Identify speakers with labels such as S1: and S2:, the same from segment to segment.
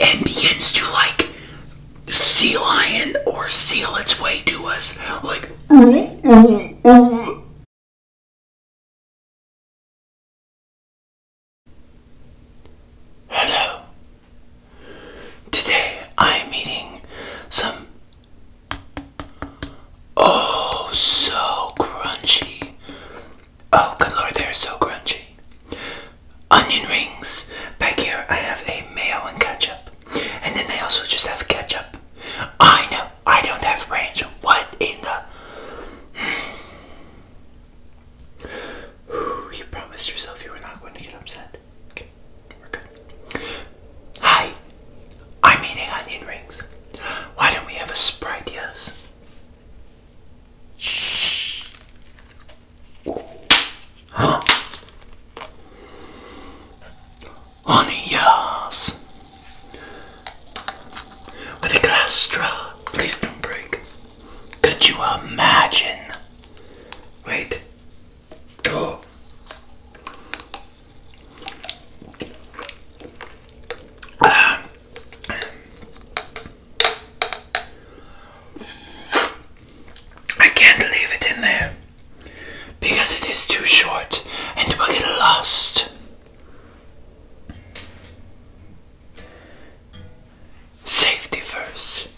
S1: and begins to like sea lion or seal its way to us like ooh, ooh, ooh. Hello. Today I am eating some oh so crunchy Oh, good lord, they're so crunchy. Onion rings. Back here, I have a mayo and ketchup. And then I also just have ketchup. I know, I don't have ranch. What in the. you promised yourself you were not going to get upset. Okay, we're good. Hi, I'm eating onion rings. Why don't we have a Sprite, yes? Huh? Honey, yes. With a glass straw. Please don't break. Could you imagine? Wait. Oh. I can't leave it in there because it is too short and it will get lost. Safety first.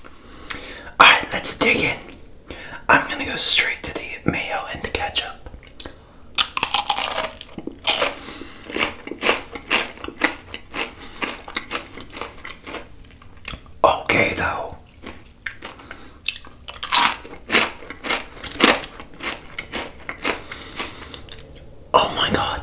S1: Alright, let's dig in. I'm gonna go straight to the mayo and the ketchup. Okay, though. Oh, my God.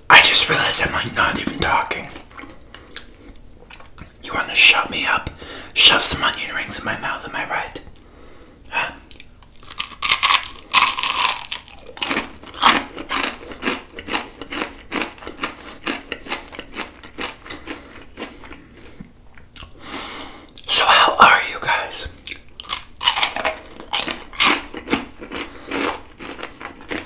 S1: I just realized I'm like not even talking. You want to shut me up? Shove some onion rings in my mouth, am I right? So, how are you guys?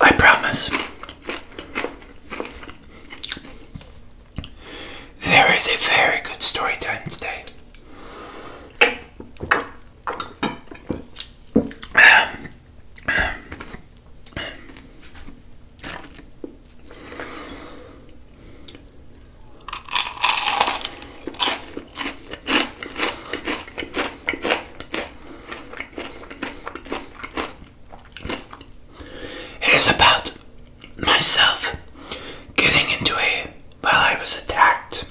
S1: I promise. There is a very good story time today. um, it is about myself getting into a while I was attacked.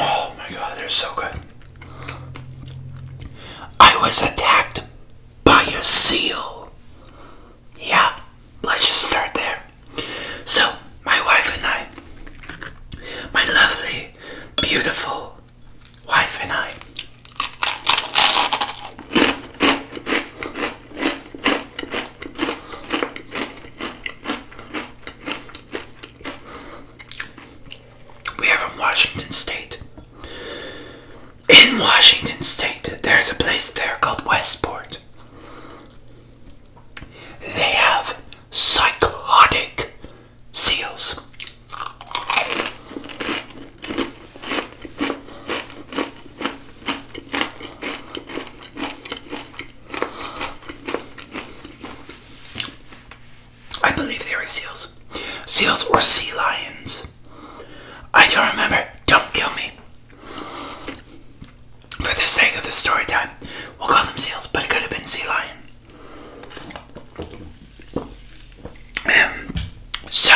S1: Oh my god, they're so good. I was attacked by a seal. Yeah, let's just start there. So, my wife and I, my lovely, beautiful wife and I, we are from Washington State. In Washington State, there's a place there called Westport. They have psychotic seals. I believe they were seals. Seals or sea lions. I don't remember. Don't kill me. For the sake of the story time, we'll call them seals, but it could have been sea lion. Um, so,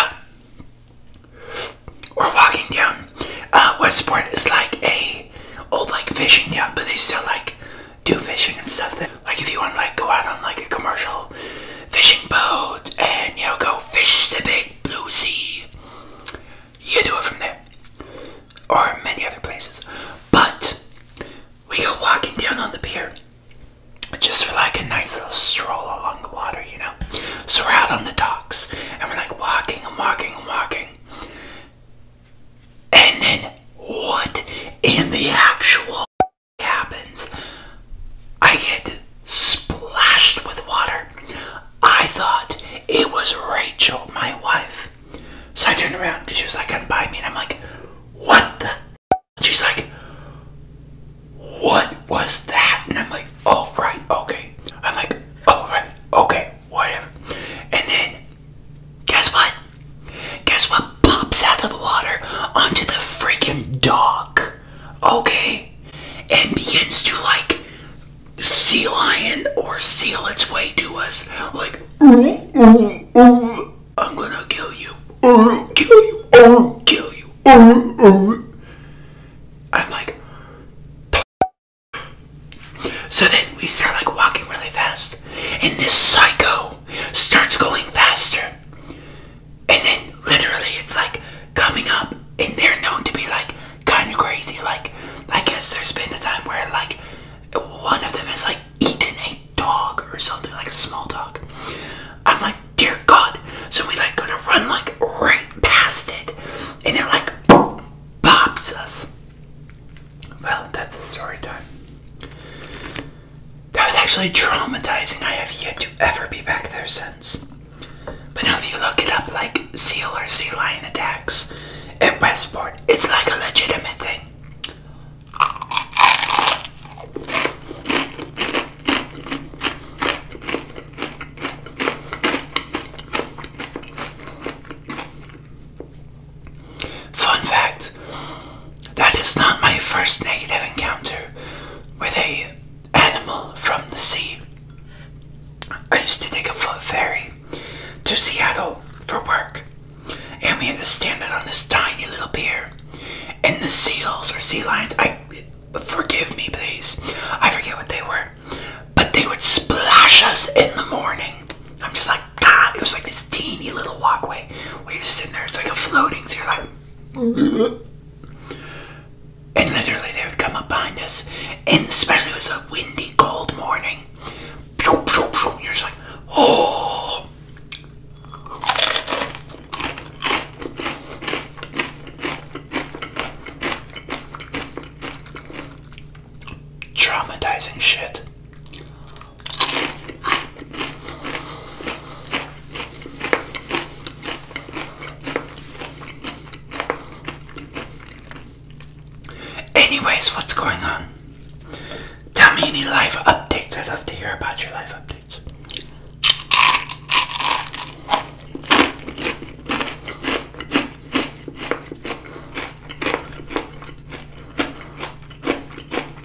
S1: we're walking down. Uh, Westport is like a old like fishing town, but they still like do fishing and stuff Then, like if you want like go out on like a commercial fishing boat and you know go fish the big blue sea you do it from there or many other places but we go walking down on the pier just for like a nice little stroll along the water you know so we're out on the docks and we're like walking and walking and walking and then what in the actual happens, I get splashed with water. I thought it was Rachel, my wife. So I turned around because she was like, "Come by me," and I'm like, "What the?" She's like, "What was that?" And I'm like, "All oh, right, okay." I'm like, "All oh, right, okay, whatever." And then, guess what? Guess what pops out of the water onto the freaking dock? Okay? And begins to like sea lion or seal its way to us. Like, I'm gonna kill you. Kill you. Kill you. I'm like, so then we start like walking really fast, and this psycho starts going faster. And then literally it's like coming up and they're known to be like kind of crazy. Like, I guess there's been a time where like one of them has like eaten a dog or something, like a small dog. I'm like, dear God. So we like go to run like right past it and it like pops us. Well, that's a story time. That was actually traumatizing. I have yet to ever be back there since. But now, if you look it up, like seal or sea lion attacks at Westport, it's like a legitimate thing. Fun fact that is not my first negative encounter with a animal from the sea. I used to take a foot ferry to Seattle for work, and we had to stand out on this tiny little pier. And the seals or sea lions, I forgive me, please, I forget what they were, but they would splash us in the morning. I'm just like, it was like this teeny little walkway where you're just sitting there, it's like a floating, so you're like, and literally they would come up behind us, and especially if it was a windy, cold morning, you're just like, oh. Traumatizing shit. Anyways, what's going on? Tell me any live updates. I'd love to hear about your live updates.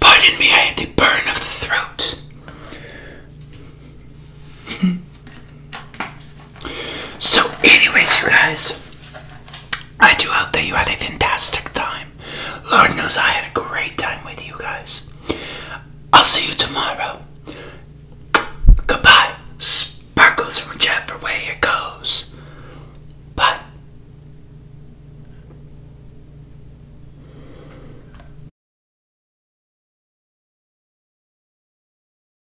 S1: Pardon me, I had the burn of the throat. So, anyways, you guys, I do hope that you had a fantastic time. Lord knows I had a great time with you guys. I'll see you tomorrow. Goodbye. Sparkles from whichever way it goes. Bye.